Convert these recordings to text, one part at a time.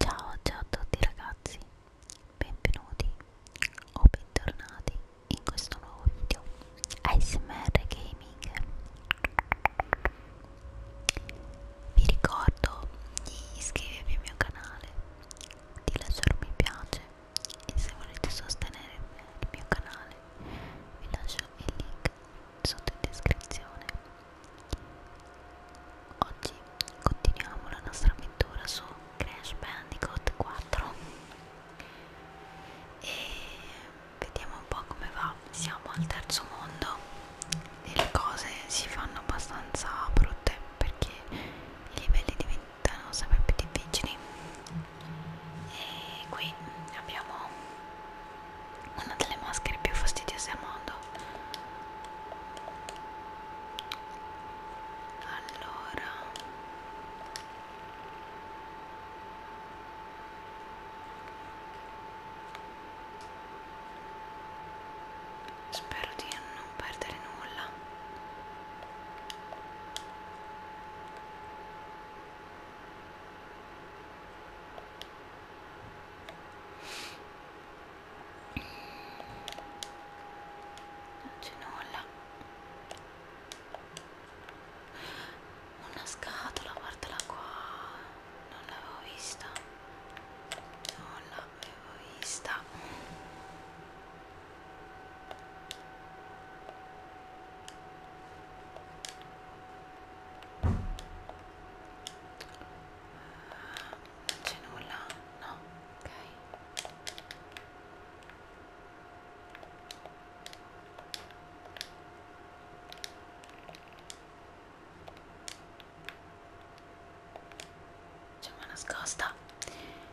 Ciao, ciao a tutti ragazzi, benvenuti o bentornati in questo nuovo video ASMR Gaming. Vi ricordo di iscrivervi al mio canale, di lasciare un mi piace e se volete sostenere il mio canale vi lascio il link sotto in descrizione. Oggi continuiamo la nostra avventura su Crash Bandicoot 4 e vediamo un po' come va. Siamo al terzo mondo e le cose si fanno abbastanza brutte perché i livelli diventano sempre più difficili. E qui abbiamo una delle maschere più fastidiose al mondo allora spero di non perdere nulla non c'è nulla una scatola guardala qua non l'avevo vista non l'avevo vista non c'è nulla no ok c'è una nascosta ehm.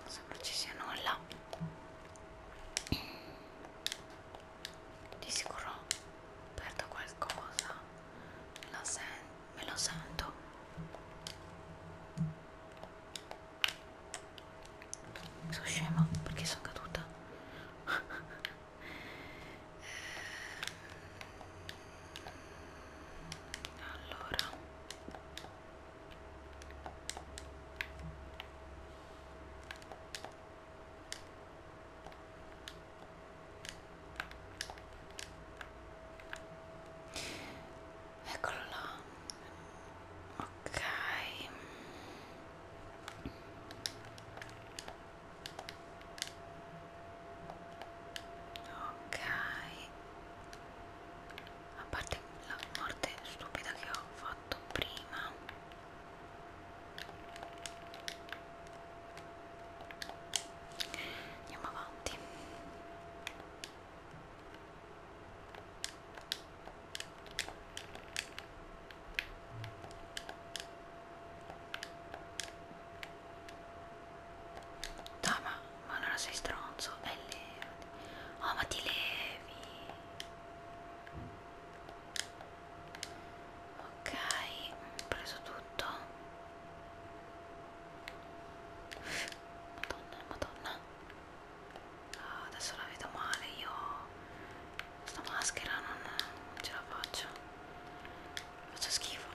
non sembra ci sia nulla di sicuro perdo qualcosa me lo, sen me lo sento sono scema perché sono caduta ehm, allora eccolo là ok ok a parte la morte stupida che ho fatto prima andiamo avanti No, ma, ma allora sei stronzo, e levati. Oh, ma ti levi. Ok, ho preso tutto. Madonna, madonna. Oh, adesso la vedo male, io questa maschera non, non ce la faccio. Faccio schifo.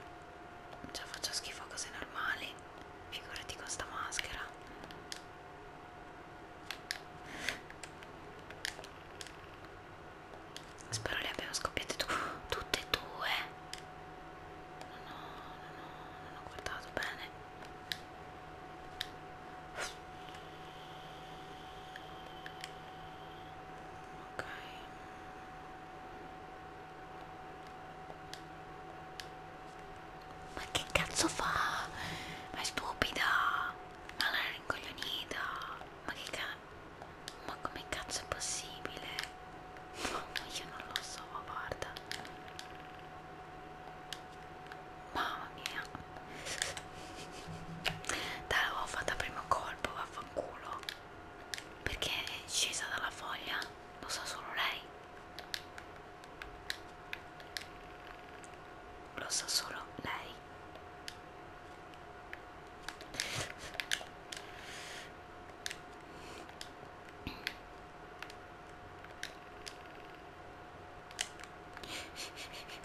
Già faccio schifo a cose normali, figurati con sta maschera. Spero le abbiano scoppiate tu tutte e due. No, no, no, no, non ho guardato bene. Ok. Ma che cazzo fa? Ma è stupida! Ma la rincoglionita! Ma che cazzo? Ma come cazzo è possibile? Io non lo so, guarda. Mamma mia. Dai, l'avevo fatta a primo colpo, vaffanculo. Perché è scesa dalla foglia? Lo sa so solo lei lo sa solo lei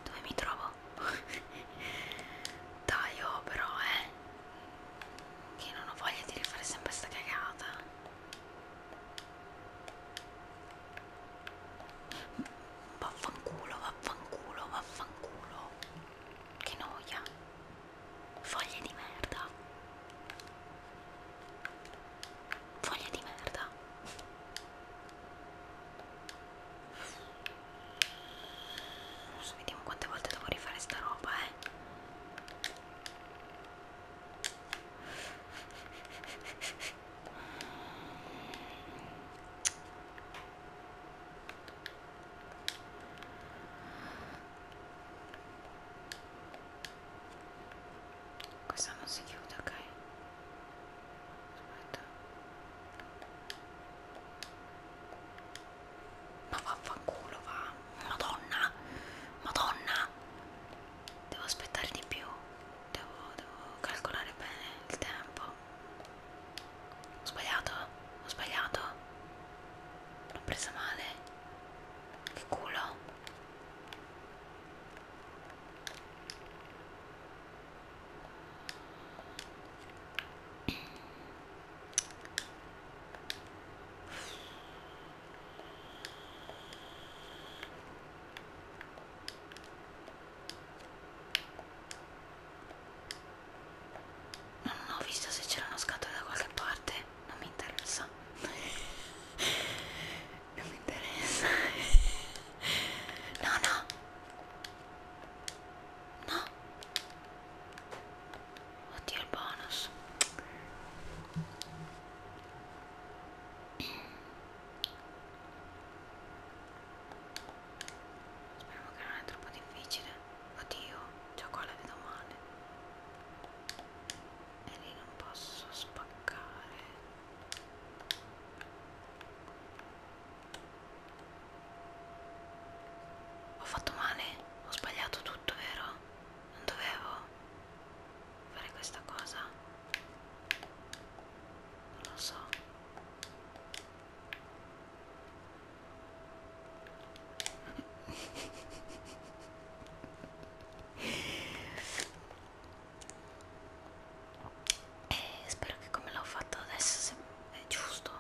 dove mi trovo? dai oh però eh che non ho voglia di rifare sempre sta cagata Vaffanculo, vaffanculo, vaffanculo. Che noia. Foglie di merda. Foglie di merda. Adesso vediamo quante volte devo rifare sta roba, eh. Questa non si chiude, ok? Aspetta. Ma vaffanculo va. Madonna, Madonna, devo aspettare di più, devo, devo calcolare bene il tempo. Ho sbagliato, ho sbagliato, l'ho presa male, che culo. Non ho visto se c'era una scatola da qualche parte, non mi interessa. non mi interessa. no, no. No. Oddio il bonus. Speriamo che non è troppo difficile. Oddio, già qua la vedo male. E lì non posso spaccare. Ho fatto male? Ho sbagliato tutto, vero? Non dovevo? fare questa cosa non lo so e eh, spero che come l'ho fatto adesso è giusto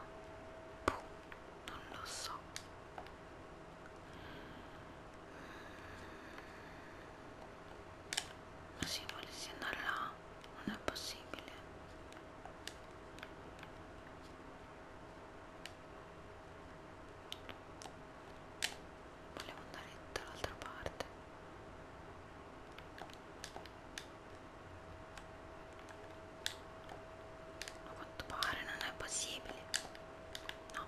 Puh, boh, non lo so ma se volessi andare là non è possibile. Volevo andare dall'altra parte. A quanto pare non è possibile. No.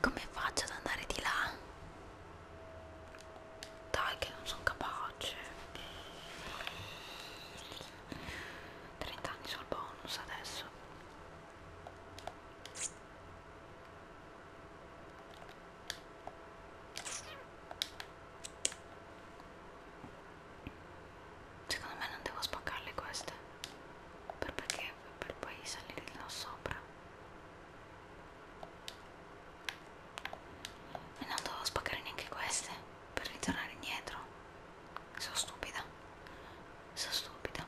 Come faccio ad andare di là? Dai che non sono capace 30 anni sul bonus adesso Secondo me non devo spaccarle queste per perché per poi salire là sopra e non dovevo spaccare neanche queste per ritornare indietro sono stupida sono stupida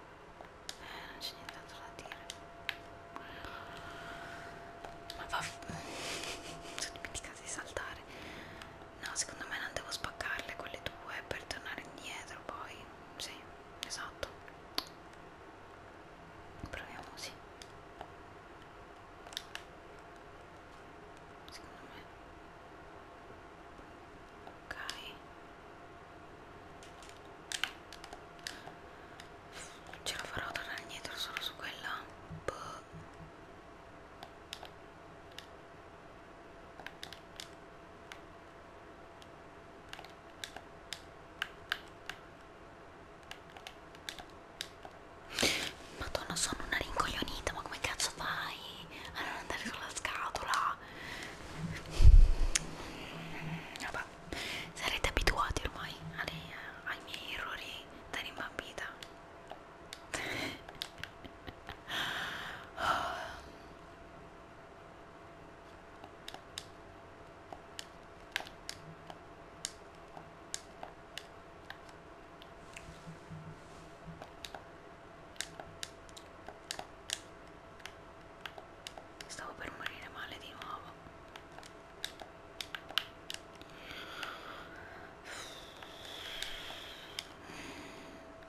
eh, non c'è nient'altro da dire ma va sono dimenticata di saltare No, secondo me non devo spaccarle quelle due per tornare indietro poi. Sì, esatto. Proviamo così. Secondo me. Ok. Ce la farò tornare indietro solo su quella. Boh. Madonna sono una rincoglionita ma come cazzo fai a non andare sulla scatola? Vabbè, sarete abituati ormai alle, ai miei errori da rimbambita Stavo per morire male di nuovo.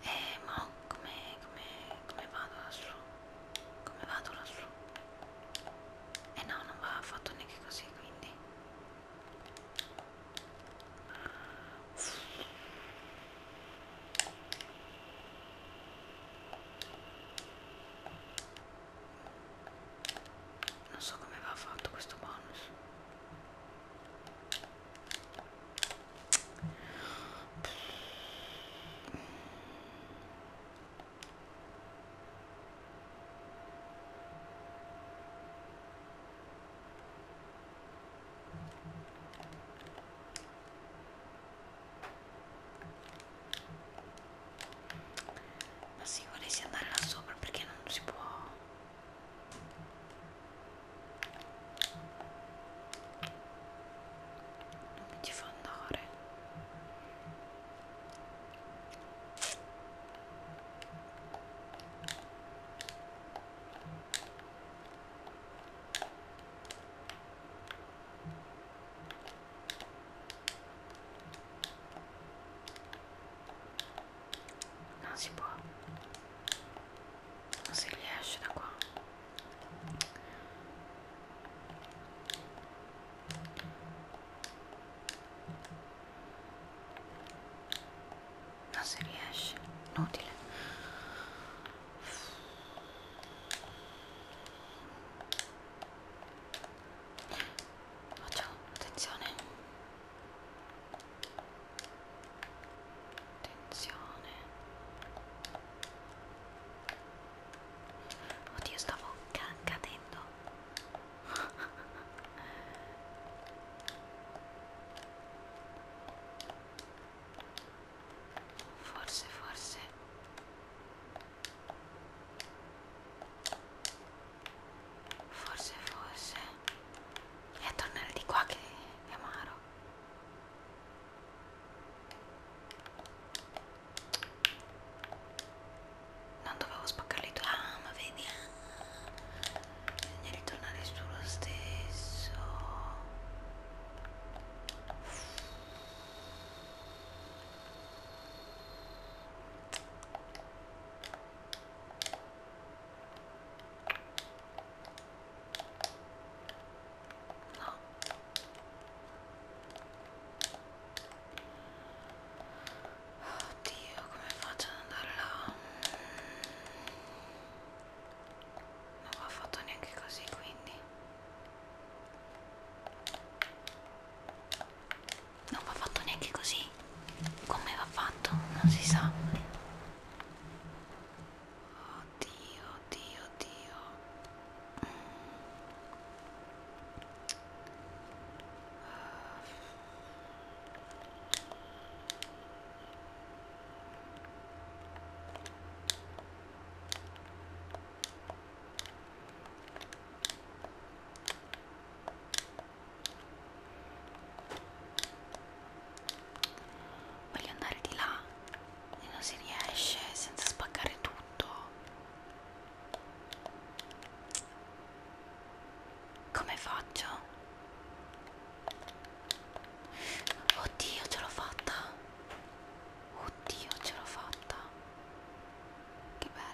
Eh, ma come, come, come vado lassù? Come vado lassù? Eh no, non va affatto neanche così, quindi. Non so come va fatto questo bonus. Ma si volessi andare là sopra perché non si può? non mi ci fa andare non si può non si riesce da qua ma se riesce inutile facciamo attenzione attenzione oddio stavo ca cadendo forse forse forse forse è tornare di qua che è amaro non dovevo spaccarli tu. Ah, ma vedi. Ah. Bisogna ritornare sullo stesso. No. Oddio, come faccio ad andare là? Non va fatto neanche così, quindi. Non va fatto neanche così. Come va fatto? Non si sa oddio, oddio, oddio. Voglio andare di là e non si riesce senza spaccare tutto come faccio? oddio ce l'ho fatta oddio ce l'ho fatta che bello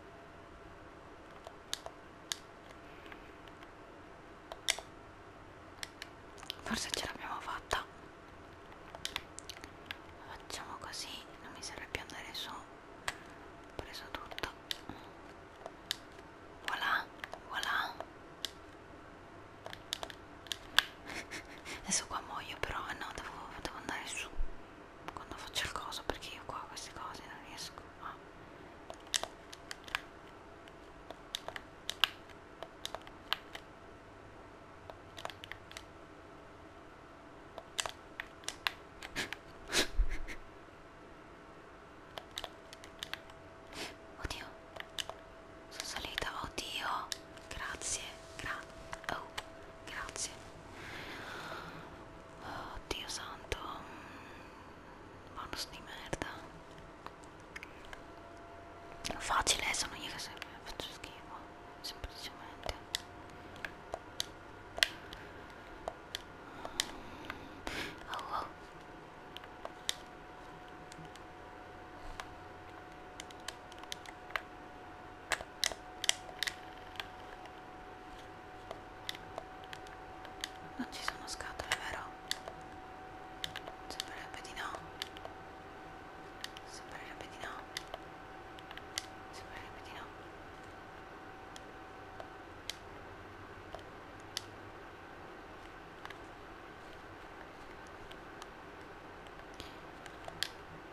Forse ce l'abbiamo fatta. Facciamo così, non mi serve più andare su. Ho preso tutto. Voilà, voilà. Adesso qua muoio però, no, devo, devo andare su quando faccio il coso perché io qua queste cose non riesco a Oddio, sono salita, oddio, grazie, grazie, oh, grazie oh dio santo bonus di merda facile sono io che sempre faccio schifo semplicemente oh, oh. Non ci sono scatole, vero? Sembrerebbe di no. Sembrerebbe di no. Sembrerebbe di no.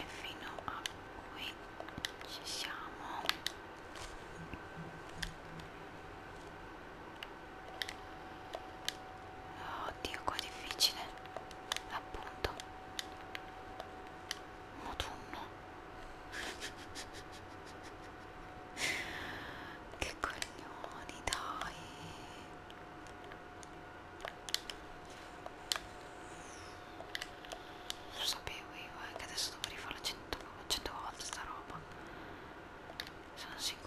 e fino a qui ci siamo oddio qua è difficile appunto motunno che coglioni dai lo sapevo io eh, che adesso dovrei farla 100, 100 volte sta roba sono sicura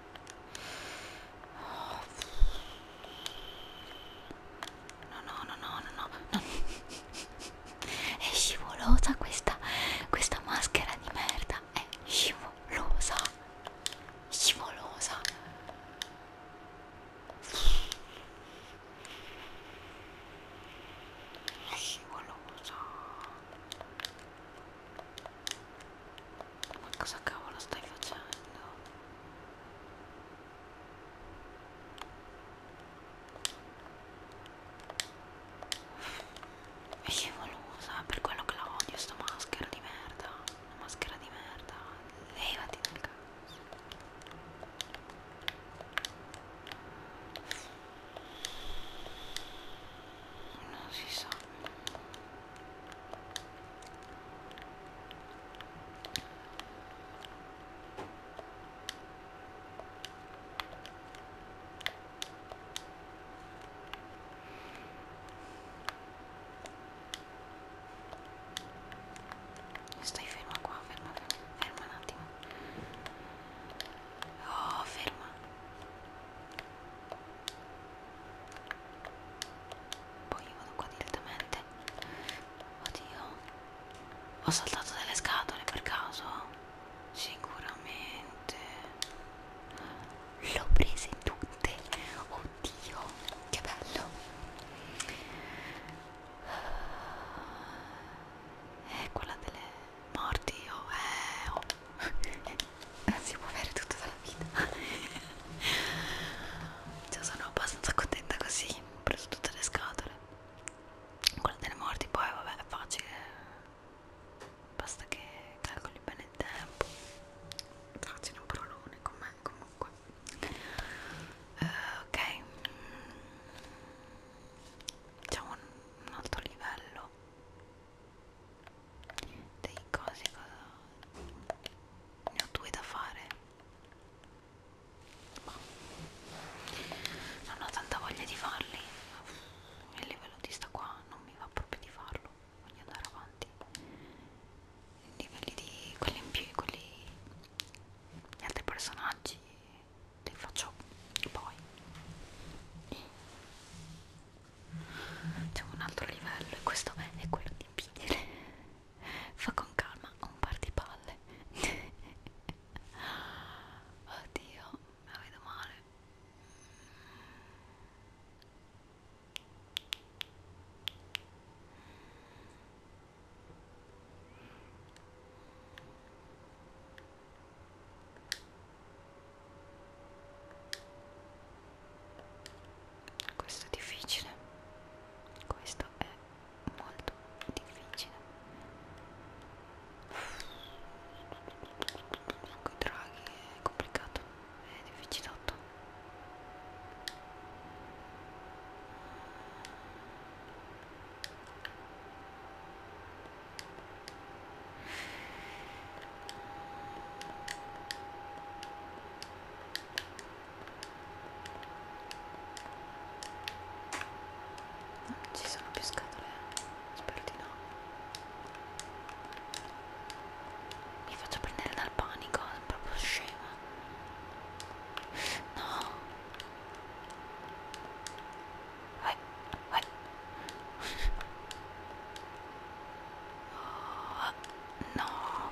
No, no, no, no, no, no, no. È scivolosa questa, questa maschera di merda. È scivolosa. Scivolosa. Scivolosa. Ma cosa cavolo stai facendo? Vivolosa, per quello che la odio sto maschera di merda. Una maschera di merda. Levati dal cazzo. Non si sa. Stai ferma qua, ferma, ferma un attimo. Oh, ferma poi io vado qua direttamente oddio ho saltato delle scatole per caso sicuramente l'ho prese tutte oddio che bello è eh, quella delle morti oh, eh, oh. si può avere tutto dalla vita cioè sono abbastanza contenta così ho preso tutte le scatole quella delle morti poi vabbè è facile basta che calcoli bene il tempo facile un parolone con me comunque uh, ok c'è un, un altro livello dei cose ne ho due da fare ma non ho tanta voglia di farli il livello di sta qua non mi va proprio di farlo voglio andare avanti i livelli di quelli in più quelli gli altri personaggi li faccio poi c'è un altro livello e questo è quello di pidere fa con calma un par di palle oddio me la vedo male questo è difficile questo è molto difficile draghi è complicato è difficilotto No, ci sono più scatole? Spero di no. Mi faccio prendere dal panico, è proprio scema. No. Vai, vai. Oh, no,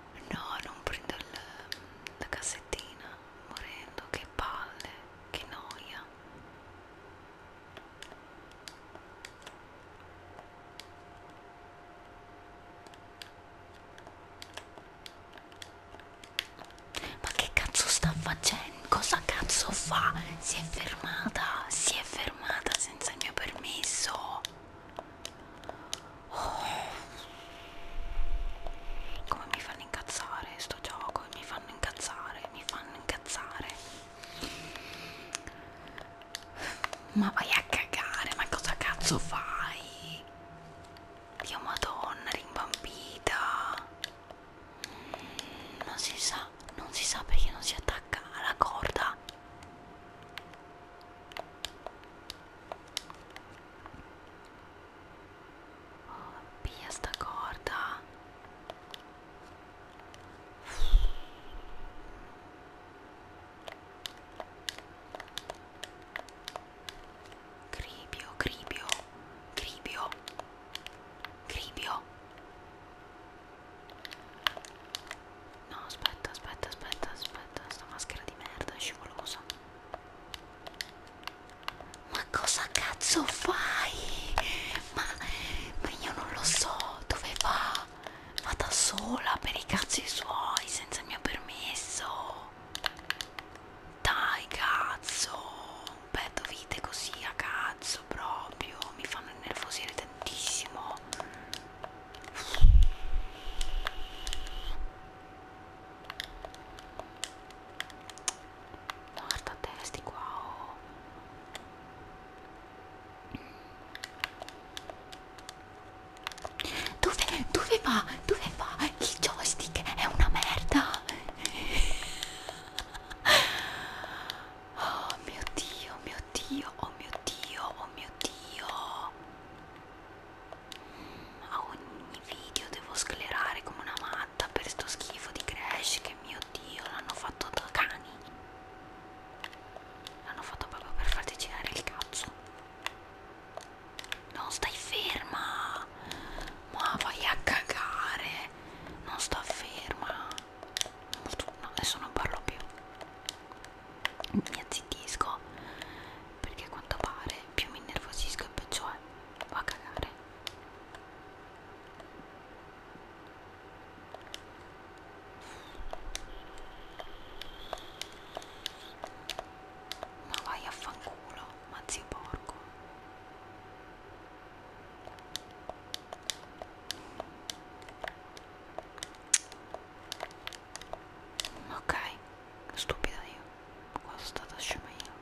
No, non prendo il, la cassettina, morendo, che palle, che noia. Ma che cazzo sta facendo? Cosa cazzo fa? Si è fermata, si è fermata senza il mio permesso oh. come mi fanno incazzare sto gioco mi fanno incazzare mi fanno incazzare ma vai a cagare ma cosa cazzo fai Dio madonna rimbambita non si sa non si sa perché non si attacca alla corda Oh, via sta corda. Cribio, cribio, cribio, cribio. No, aspetta, aspetta, aspetta, aspetta, sta maschera di merda è scivolosa. Ma cosa cazzo fai? Ma, ma io non lo so dove va. Va da sola per i cazzi suoi senza il mio permesso. Dai cazzo. Petto vite così a cazzo proprio. Mi fanno nervosire tantissimo. Guarda testi qua oh. Dove, dove va? Dove va? Il joystick è una merda Oh mio dio, mio dio, oh mio dio, oh mio dio a ogni video devo sclerare come una matta per sto schifo di Crash che mio dio l'hanno fatto da cani l'hanno fatto proprio per farti girare il cazzo non stai ferma ma vai a cagare non sto ferma no, adesso non parlo più mi azzittisco perché a quanto pare più mi innervosisco e peggio è va a cagare ma vai a fanculo ma zio porco Ok, stupida io, qua sono stata scema io.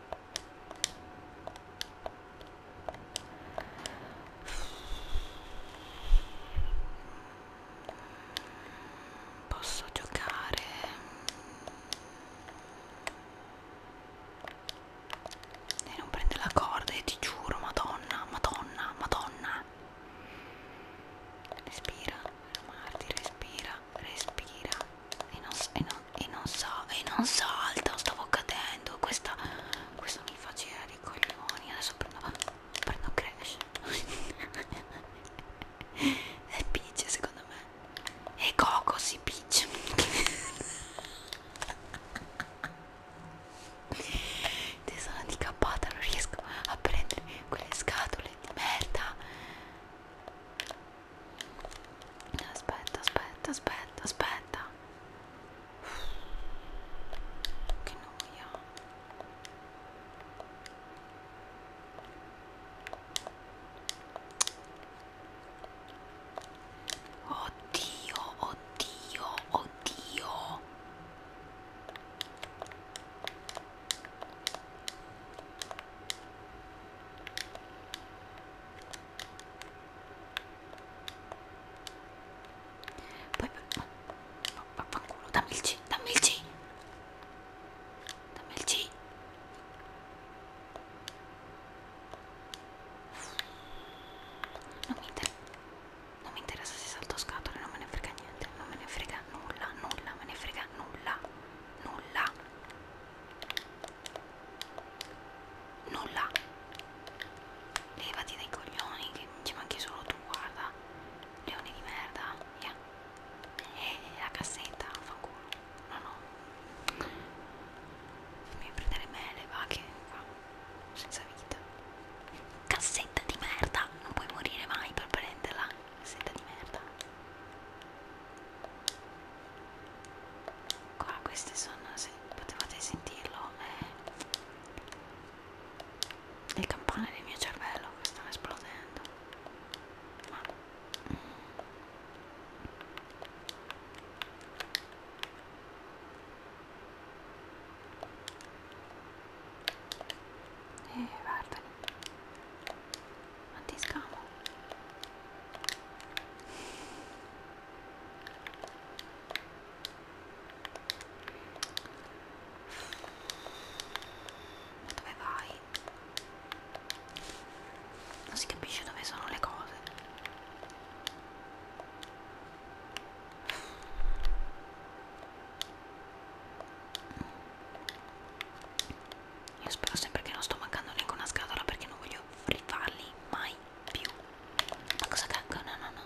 Posso giocare? E non prende la corda e ti giuro, madonna, madonna, madonna. Respira. Marti respira, respira e non, e non, e non so, e non salta, stavo cadendo, questa, questa mi fa girare i coglioni, adesso prendo, prendo crash è Peach secondo me e Coco si Peach te sono handicappata non riesco a prendere quelle scatole di merda Aspetta, aspetta, aspetta, aspetta. Che noia. Oddio, oddio, oddio. Poi per... Oh, oh, vaffanculo, dammi il C, dammi il C! Dammi il C! Non mi, inter... non mi interessa se salto scatole, non me ne frega niente, non me ne frega nulla, nulla, me ne frega nulla nulla nulla levati dai coglioni che ci manchi solo tu guarda leone di merda yeah. e la cassetta fa culo no no mi prendere me le va che qua senza vita cassetta di merda non puoi morire mai per prenderla sete di merda qua questi sono se potevate sentirlo eh, le campane del mio cervello che stanno esplodendo ma mm. E eh, guardali antiscamo ma dove vai? non si capisce dove sono le cose io spero sempre che non sto mancando neanche una scatola perché non voglio rifarli mai più ma cosa cacca? no no no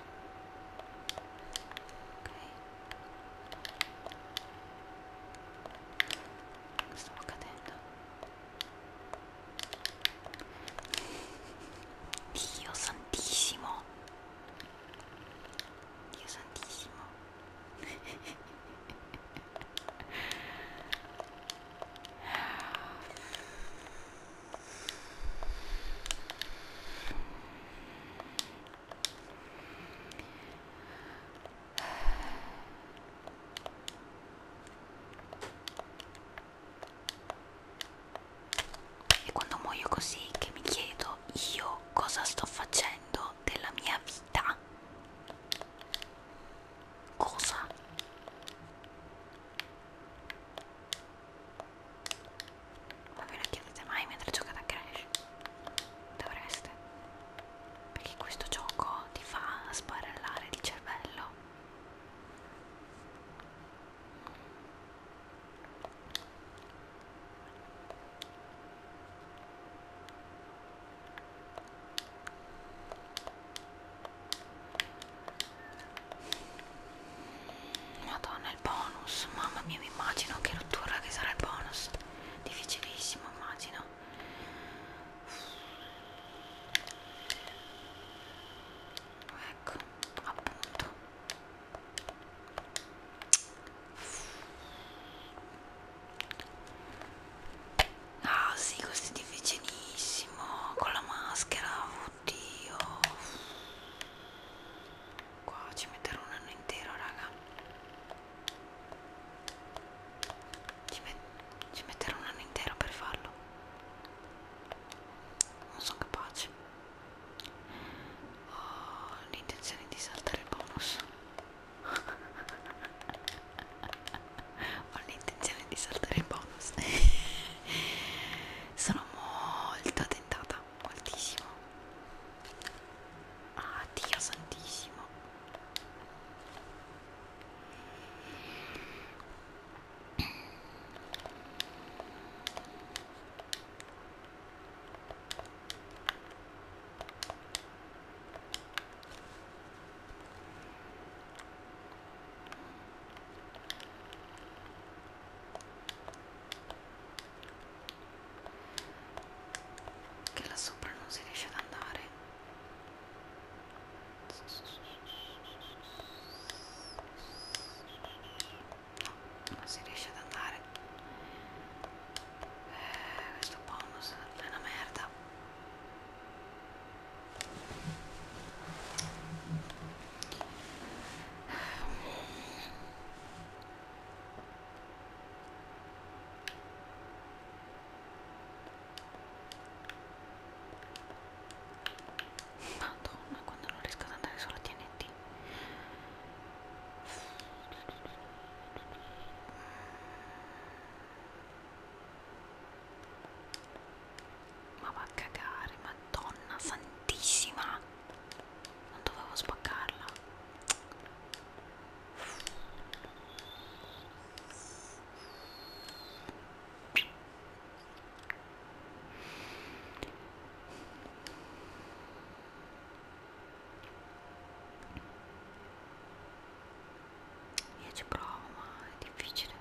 ok stavo cadendo Dio santissimo Dio santissimo e quando muoio così che mi chiedo io cosa sto facendo della mia vita Cosa? Ma ve lo chiedete mai mentre giocate a Crash? Dovreste Perché questo gioco ti fa sbarellare il cervello Madonna il bonus, mamma mia mi immagino che rottura che sarà il bonus, difficilissimo immagino. Ecco, appunto. Ah sì, questo è difficilissimo. Con la maschera, oddio. Qua ci metterò un anno intero, raga. Ci, met ci metterò un anno intero per farlo. Non sono capace. Ho l'intenzione di saltare il bonus. ho l'intenzione di saltare il bonus sono molto tentata moltissimo ah dio santissimo che là sopra non si riesce ad andare no, non si riesce ad andare eh, questo bonus è una merda Madonna, quando non riesco ad andare solo a TNT ma va a cagare, madonna santissima! Non dovevo spaccarla io ci provo ma è difficile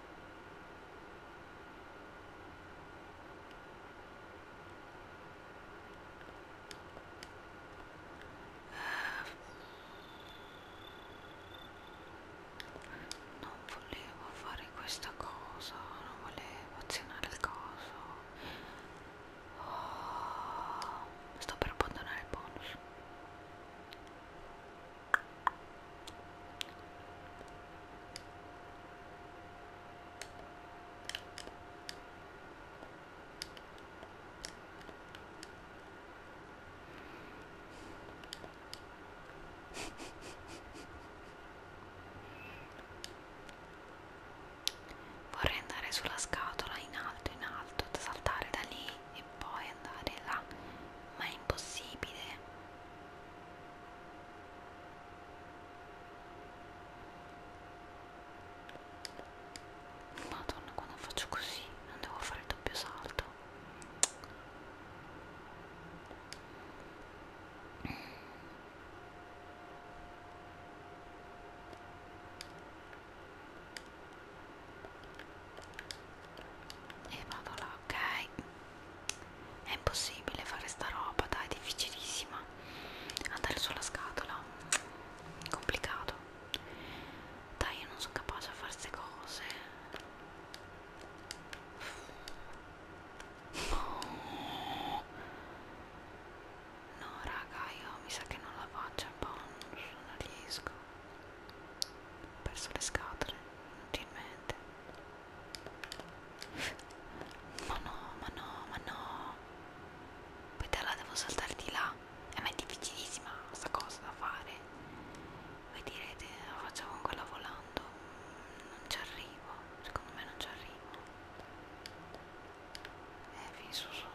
eh, non volevo fare questa cosa non volevo azionare il coso oh, sto per abbandonare il bonus Vorrei andare sulla scatola in alto, in alto, saltare da lì e poi andare là, ma è impossibile. Madonna, quando faccio così non devo fare il doppio salto e vado là ok è impossibile fare sta roba dai è difficilissima andare sulla scatola complicato dai io non sono capace a fare queste cose no. no raga io mi sa che non la faccio boh, non riesco ho perso le scatole inutilmente ma no ma no ma no poi te la devo saltare di là e eh, ma è difficilissima sta cosa da fare voi direte oh, la faccio con quella volando non ci arrivo secondo me non ci arrivo e eh, fisso sono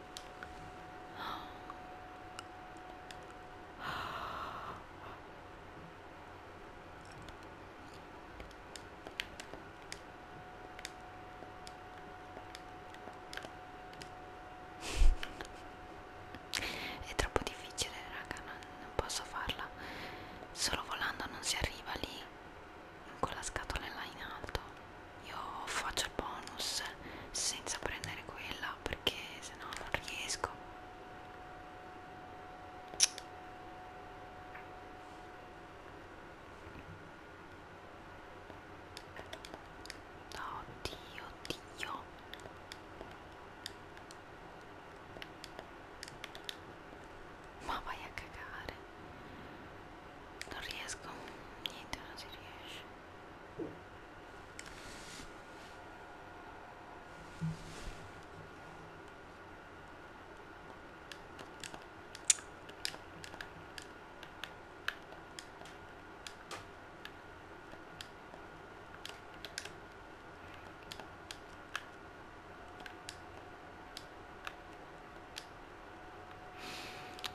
È troppo difficile, raga, non, non posso farla. Solo volando non si arriva lì, con la scatola là in alto. Io faccio il bonus senza prendere quella perché sennò non riesco oddio oddio ma vai a cagare non riesco niente non si riesce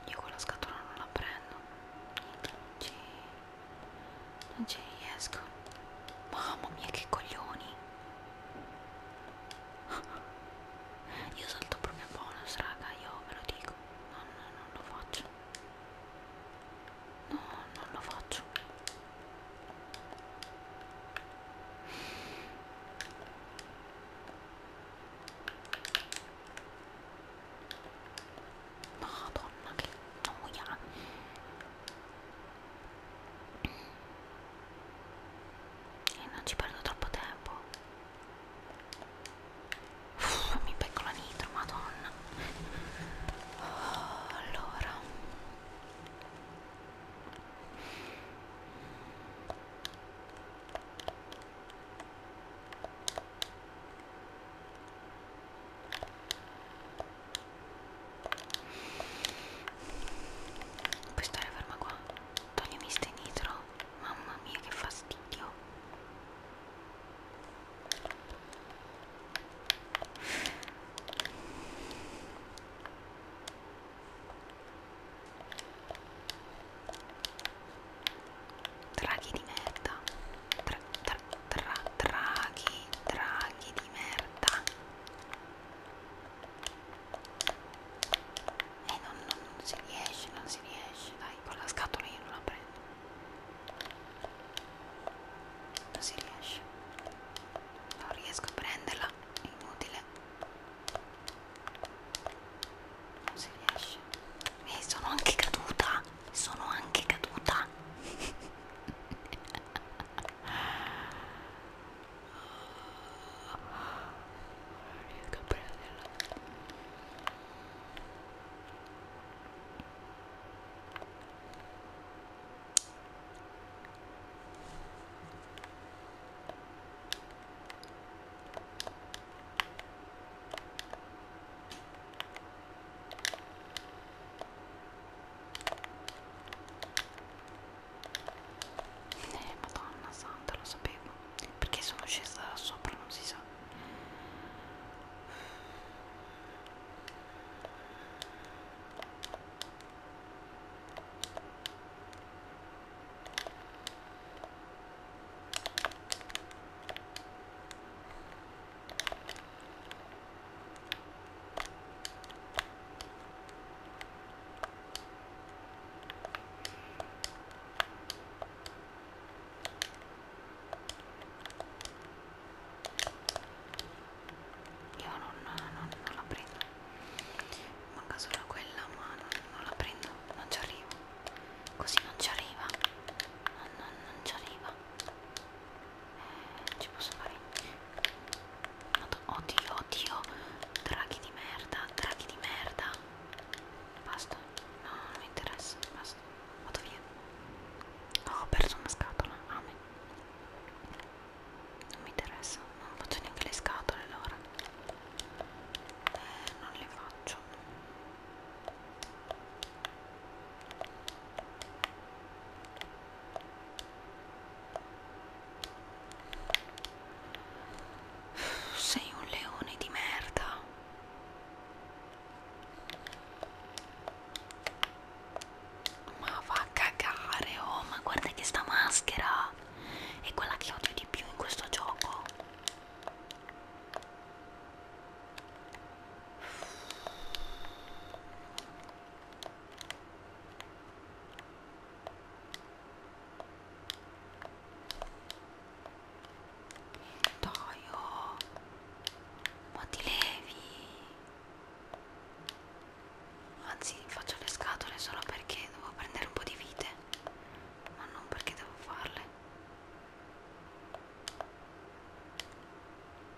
io quella scatola non la prendo. Ci non ci riesco mamma mia che coglioni io salto proprio bonus raga io ve lo dico no, no, non lo faccio no non lo faccio Madonna, che noia! E eh, non ci perdo troppo tempo. Uff, mi becco la nitro, madonna. Oh, allora. Puoi stare ferma qua? Toglimi ste nitro. Mamma mia che fastidio. Draghi di merda. Tra, tra, tra, draghi, draghi di merda. E eh, non, non, non si riesce, non si riesce. Dai, con la scatola io non la prendo. Non si riesce. Non riesco a prenderla. È inutile. Non si riesce e sono anche caduta sono anche caduta riesco a prenderla eh, madonna santa, lo sapevo. Perché sono scesa da sopra, non si sa. Io non, non, non la prendo, manca solo quella, ma non, non la prendo, non ci arrivo. Così non ci arriva, non, non, non ci arriva ci posso fare oddio oddio draghi di merda draghi di merda basta no non mi interessa basta vado via oh, ho perso una scatola a me non mi interessa non faccio neanche le scatole allora eh, non le faccio sei un leone di merda. Ma va a cagare, oh, ma guarda che sta maschera è quella che odio di più in questo gioco. Toio, ma ti levi? Anzi, faccio le scatole solo perché devo prendere un po' di vite, ma non perché devo farle.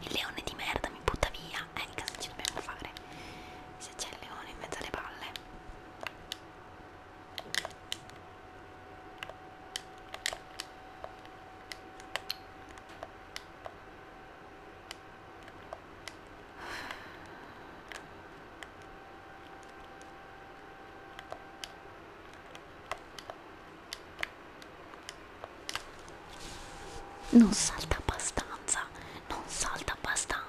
Il leone di merda mi butta via via Erika eh, se ci dobbiamo fare se c'è il leone in mezzo alle palle non salta abbastanza non salta abbastanza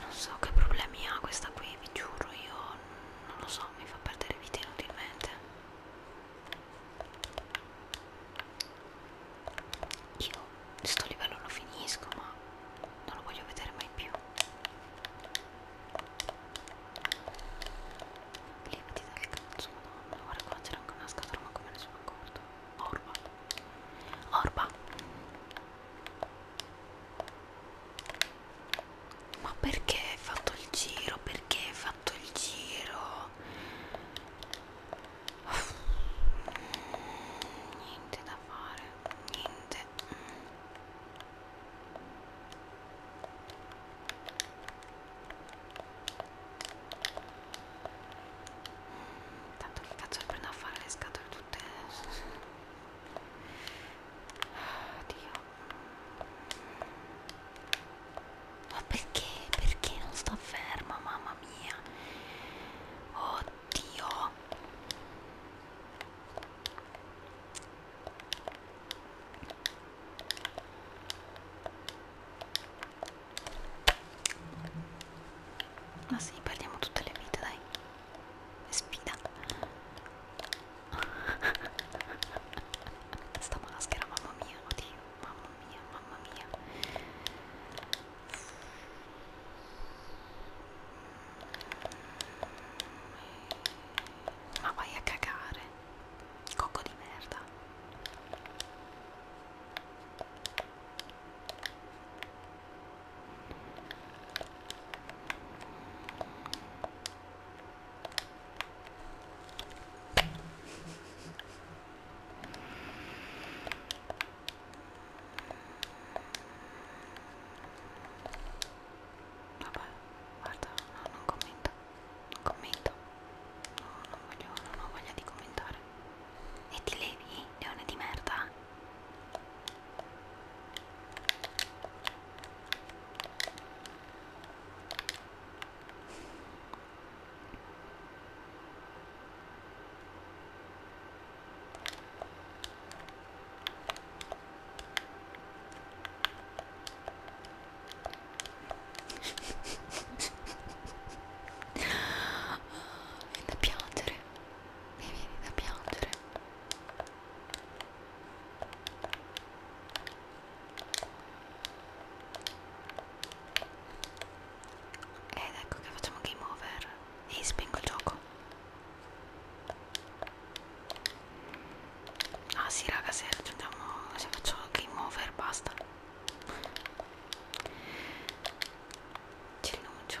non so che problemi ha questa qui, vi giuro, io non lo so, mi fa perdere vita inutilmente io sto livello lo finisco ma non lo voglio vedere mai più limiti dal cazzo madonna guarda qua c'era anche una scatola ma come ne sono accorto orba orba ma perché hai fatto il giro? Perché hai fatto il giro? niente da fare niente tanto che cazzo prendo a fare le scatole tutte Dio ma perché? Perché non sta ferma, mamma mia? Oh Oddio. Ma ah, sì, perdiamo tutte le vite, dai. Sfida. Sta maschera, mamma mia, oddio, mamma mia, mamma mia. Ma vai a cagare, cocco di merda. Vabbè, guarda, no, non commento, non commento, no, non voglio, non ho voglia di commentare. E ti levi, leone di merda? Vieni da piangere, mi vieni da piangere. Ed ecco che facciamo game over e spengo il gioco ah sì raga se raggiungiamo se faccio game over basta ci rinuncio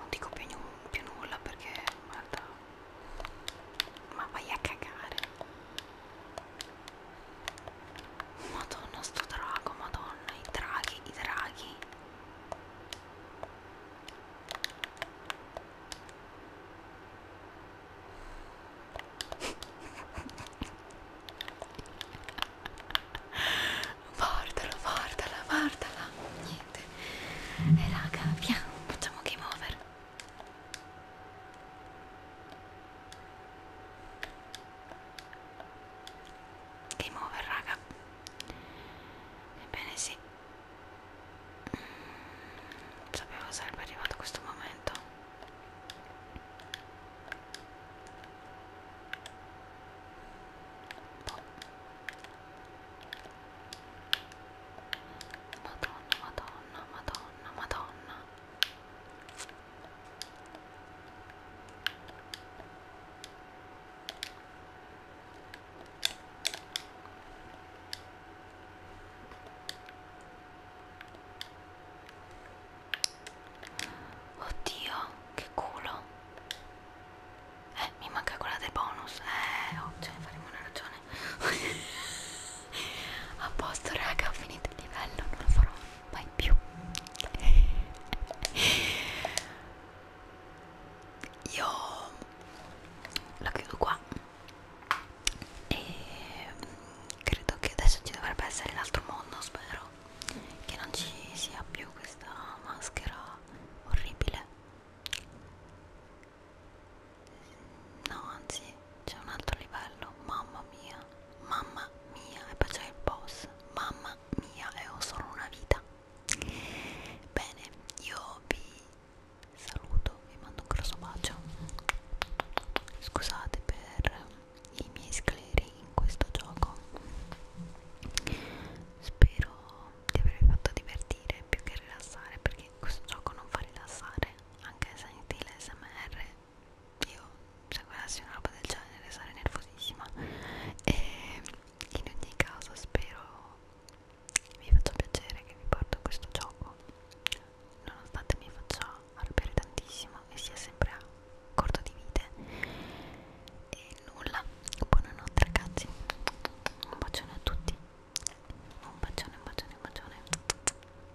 Non dico più, più nulla perché guarda, ma vai a cagare. Madonna sto drago, madonna, i draghi, i draghi. Guardalo, guardala, guardala. Niente. E eh, raga, via, facciamo game over. Game over raga Ebbene sì mm, Sapevo sarebbe arrivato questo momento boh. Madonna, madonna, madonna, madonna Oddio, che culo. Eh, mi manca quella del bonus. Eh, oh, ce ne faremo una ragione. a posto raga ho finito il livello non lo farò mai più io la chiudo qua e credo che adesso ci dovrebbe essere l'altro mondo spero che non ci sia più questa maschera orribile no anzi c'è un altro livello, mamma mia, mamma mia, e poi c'è il boss, mamma mia, e ho solo una vita. Bene, io vi saluto, vi mando un grosso bacio. Scusate per i miei scleri in questo gioco. Spero di avervi fatto divertire più che rilassare perché questo gioco non fa rilassare, anche se in stile SMR io se guardassi una roba del genere sarei nervosissima e in ogni caso spero vi faccia piacere che vi porto questo gioco nonostante mi faccia arrabbiare tantissimo e sia sempre a corto di vite e nulla buonanotte ragazzi un bacione a tutti un bacione un bacione un bacione